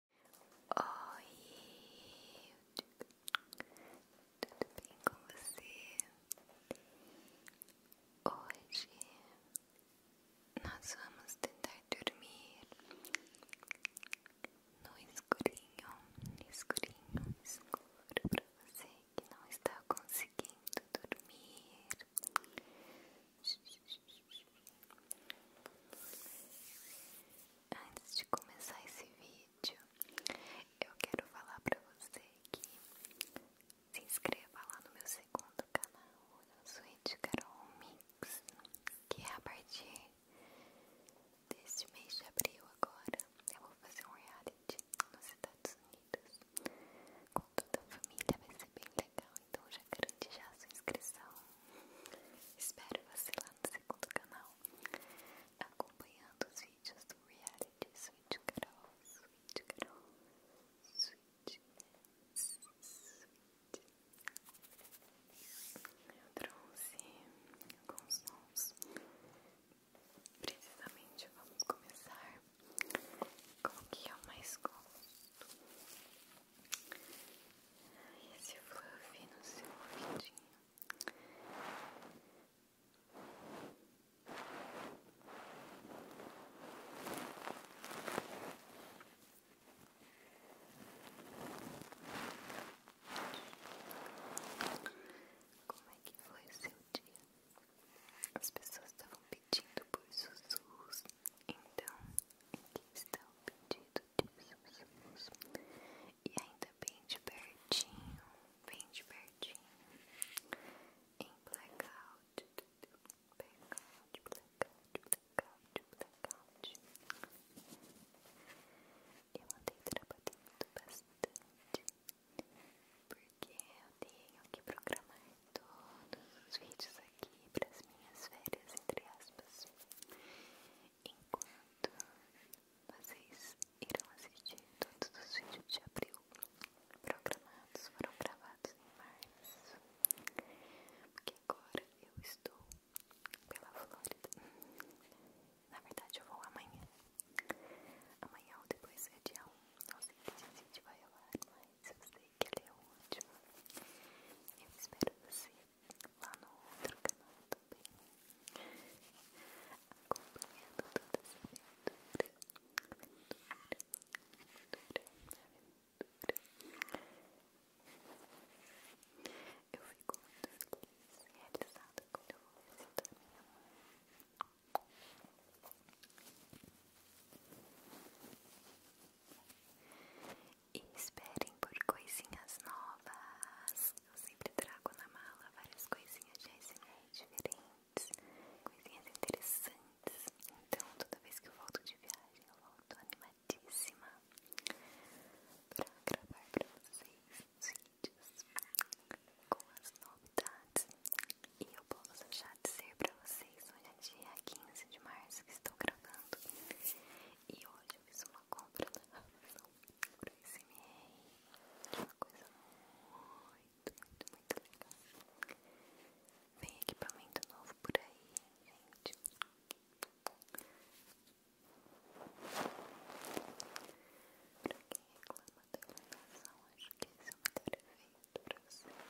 Oi, tudo bem com você? Hoje nós vamos tentar dormir no escurinho, escurinho, escuro para você que não está conseguindo dormir. Antes de começar esse vídeo, eu quero falar pra você que se inscreva lá no meu segundo canal, na Suíte Carol Mix, que é a partir deste mês de abril agora. Eu vou fazer um reality nos Estados Unidos com toda a família, vai ser bem legal. Então já garante já a sua inscrição. Espero você lá no segundo canal, acompanhando os vídeos do Reality Sweet girl Sweet girl Sweet, Sweet. Eu trouxe alguns sons. Precisamente vamos começar com o que eu mais gosto. Esse fluff no seu ouvidinho. Como é que foi o seu dia? As pessoas estavam pedindo por sussurros então, aqui está o pedido de Jesus. E ainda bem de pertinho, bem de pertinho, em blackout, blackout, blackout, blackout, blackout. Eu andei trabalhando bastante, porque eu tenho que programar todos os vídeos aqui aqui para as minhas férias, entre aspas. Enquanto vocês irão assistir todos os vídeos de abril programados, foram gravados em março, porque agora eu estou pela Flórida. Na verdade, eu vou amanhã. Amanhã ou depois é dia 1. Não sei se esse vídeo vai ao mas eu sei que ele é o último. Eu espero você lá no outro canal também, acompanhando todas as aventura, aventura, aventura, Eu fico muito feliz e realizada quando eu vou visitar minha mãe. E esperem por coisinhas novas. Eu sempre trago na mala várias coisinhas de ASMR diferentes, coisinhas interessantes. Então, toda vez que eu volto de viagem, eu volto animadíssima para gravar para vocês os vídeos com as novidades. E eu posso já dizer para vocês: hoje é dia 15 de março que estou gravando. E hoje eu fiz uma compra na Amazon pra esse mês. Uma coisa muito, muito, muito legal. Vem equipamento novo por aí, gente. Pra quem reclama da iluminação, acho que esse é o melhor efeito pra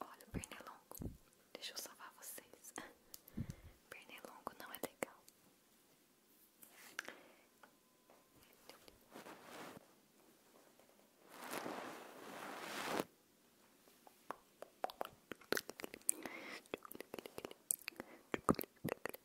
Olha o pernilongo. Deixa eu salvar vocês. Pernilongo não é legal.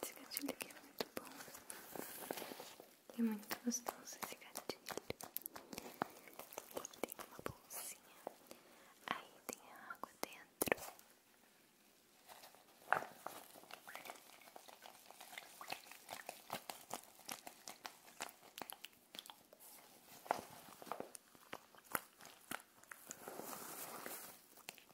Esse gatilho aqui é muito bom. E é muito gostoso esse gatilho. tem uma bolsinha. Aí tem água dentro.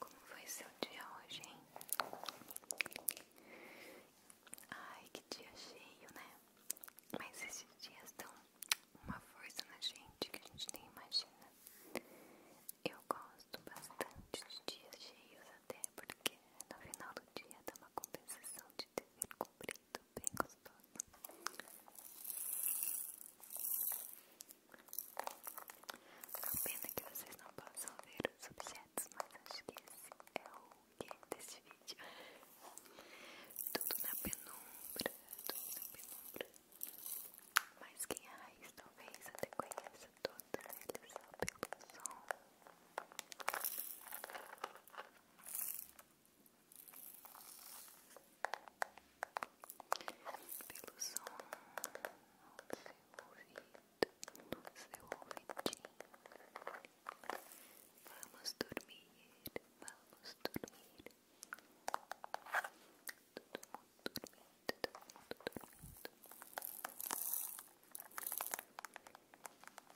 Como foi seu dia hoje, hein? Ai, que dia cheio, né? Mas esses dias dão uma força na gente que a gente nem imagina. Eu gosto bastante de dias cheios até porque no final do dia dá uma compensação de dever cumprido muito tá bem gostoso. A pena que vocês não possam ver os objetos, mas acho que esse é o game desse vídeo. Tudo na penumbra, tudo na penumbra. Mas quem é raiz talvez até conheça todos eles só pelo som pelo som do seu ouvido, do seu ouvidinho. Vamos dormir, vamos dormir. Todo mundo dormindo, todo mundo dormindo.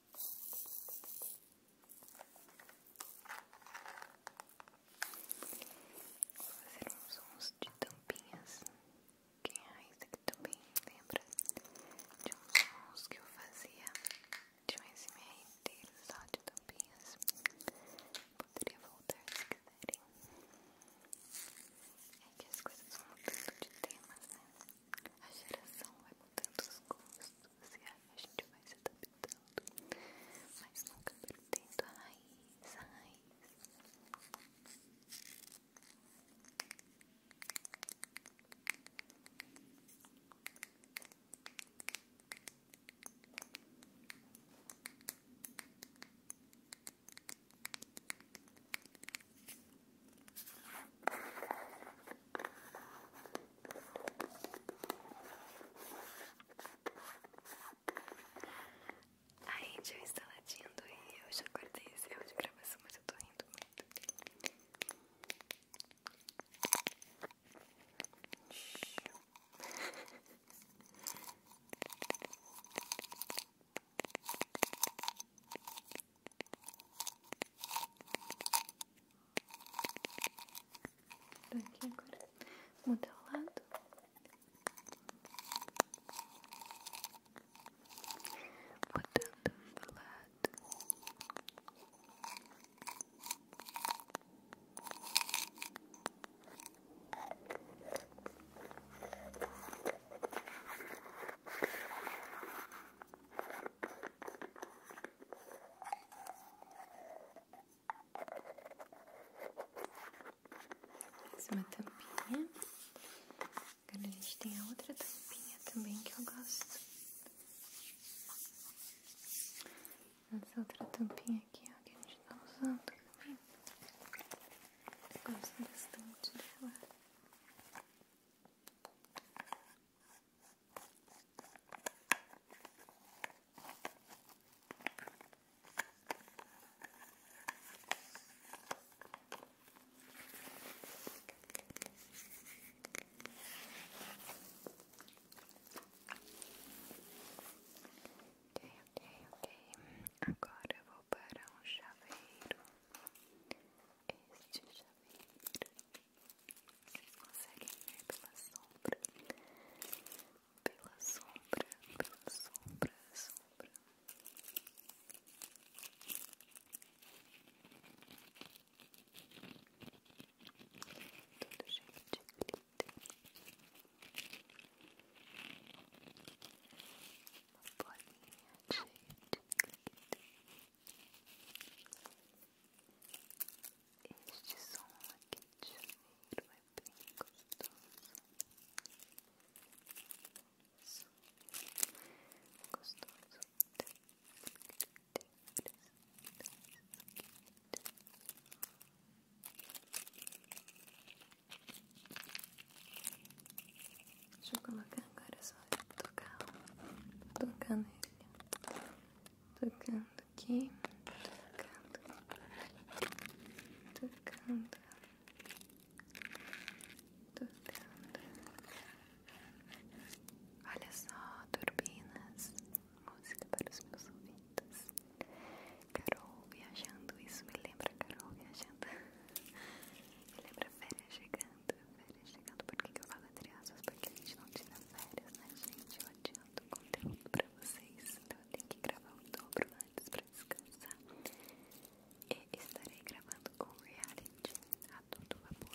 Vou fazer uns sons de tampinhas. Quem é raiz aqui também lembra de uns sons que eu fazia de um SMR inteiro só de tampinhas. Poderia voltar se quiserem. É que as coisas vão mudando de temas, né? A geração vai mudando os gostos social a gente vai se adaptando, mas nunca perdendo a raiz, a raiz. A Angel está latindo e eu já cortei eu de gravação, mas eu tô rindo muito. Tô aqui agora. Muda o lado. Mudando o lado. Mais é uma tampinha. Agora a gente tem a outra tampinha também que eu gosto. Essa outra tampinha aqui, ó, que a gente tá usando também. Eu gosto bastante dela. Ok, ok, ok. Agora eu vou para um chaveiro este chaveiro. Vocês conseguem ver pela sombra, pela sombra, pela sombra, sombra. todo jeito de glitter. Uma bolinha cheia de glitter. Este som aqui de janeiro é bem gostoso. Som gostoso. Deixa eu colocar Agora é só tocar, tocar nele, tocando aqui, tocando, tocando, tocando. Olha só, turbinas, música para os meus ouvidos. Carol viajando, isso me lembra Carol viajando. Me lembra férias chegando, chegando. porque que, que eu falo entre aspas? Porque a gente não tira férias, né, gente? Eu adianto o conteúdo pra vocês. Então eu tenho que gravar o dobro antes pra descansar. E estarei gravando com reality a todo vapor.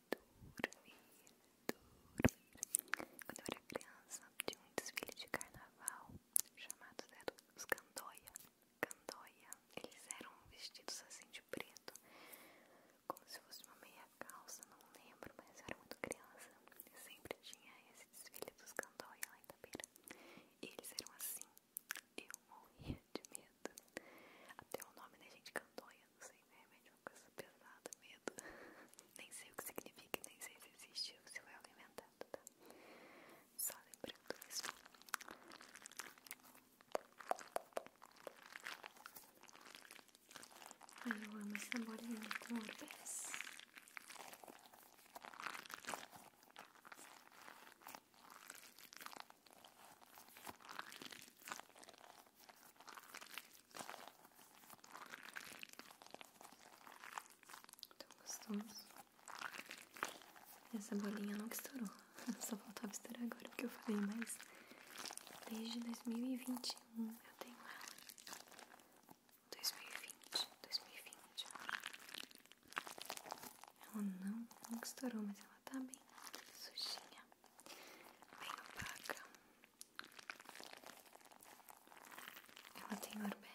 dormir, dormir. Quando eu era criança, tinha um desfile de carnaval chamado dos Candoia. Candoia, eles eram vestidos assim de preto, como se fosse uma meia calça, não lembro, mas eu era muito criança. Eu sempre tinha esse desfile dos Candoia lá em Tabeira. E eles eram assim, eu morria de medo. Até o nome da né, gente Candoia não sei, né? Realmente é uma coisa pesada, medo. nem sei o que significa, nem sei se existe se eu é alimentado, tá? Só lembrando isso. Ai, eu amo essa bolinha com urbes. Tão gostoso. Essa bolinha não estourou. Só faltava estourar agora porque eu falei, mas desde 2021 eu tenho ela. 2020, 2020. Ela não, nunca estourou, mas ela tá bem sujinha bem opaca. Ela tem orbes.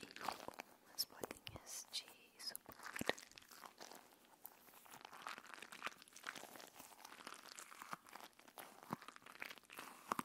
E umas bolinhas de isopor.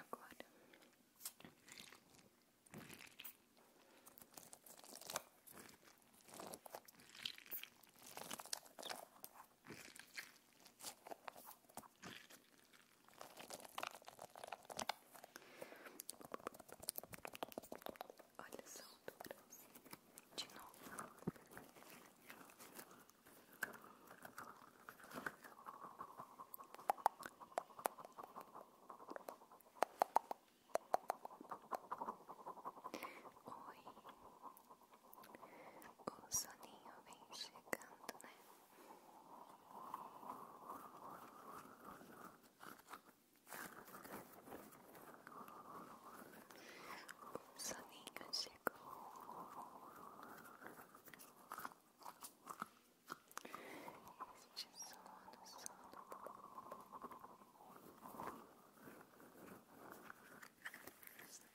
Agora Olha só o duro de novo. Oi, o soninho vem chegando, né? soninho chegou. Este sono, sono eu vou encabar. Esse sono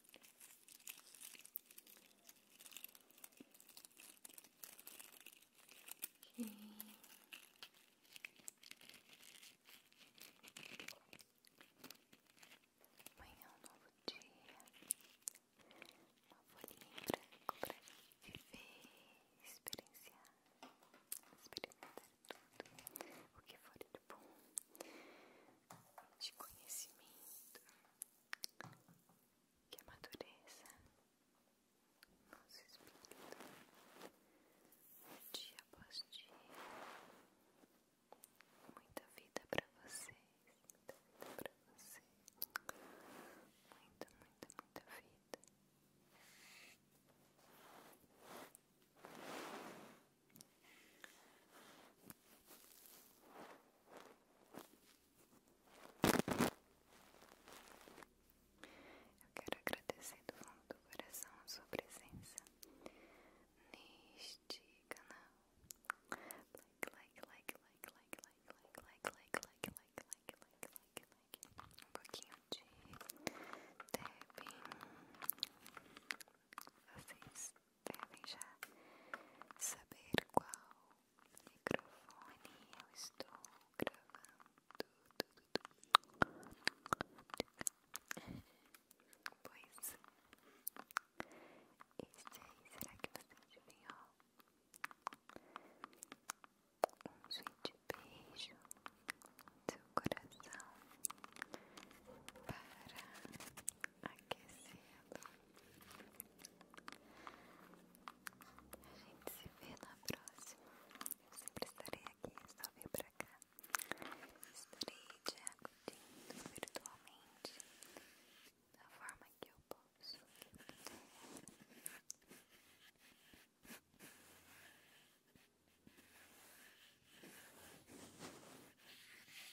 Okay. Amanhã é um novo dia, uma folhinha branca para viver, experienciar, experimentar tudo o que for de bom, de conhecimento, que a madureza nos espírito dia após dia. Muita vida pra vocês, muita vida pra vocês, muita, muita, muita vida. Eu quero agradecer do fundo do coração a sua presença neste canal. Like, like, like, like, like, like, like, like, like, like, like, like, like, like, like. Um pouquinho de tapping. Vocês devem já saber qual microfone eu estou gravando. Pois este é. aí, será que você adivinhou? Um sweet beijo no seu coração para Aquecido. A gente se vê na próxima. Eu sempre estarei aqui, só vir pra cá. Estarei te acudindo virtualmente da forma que eu posso.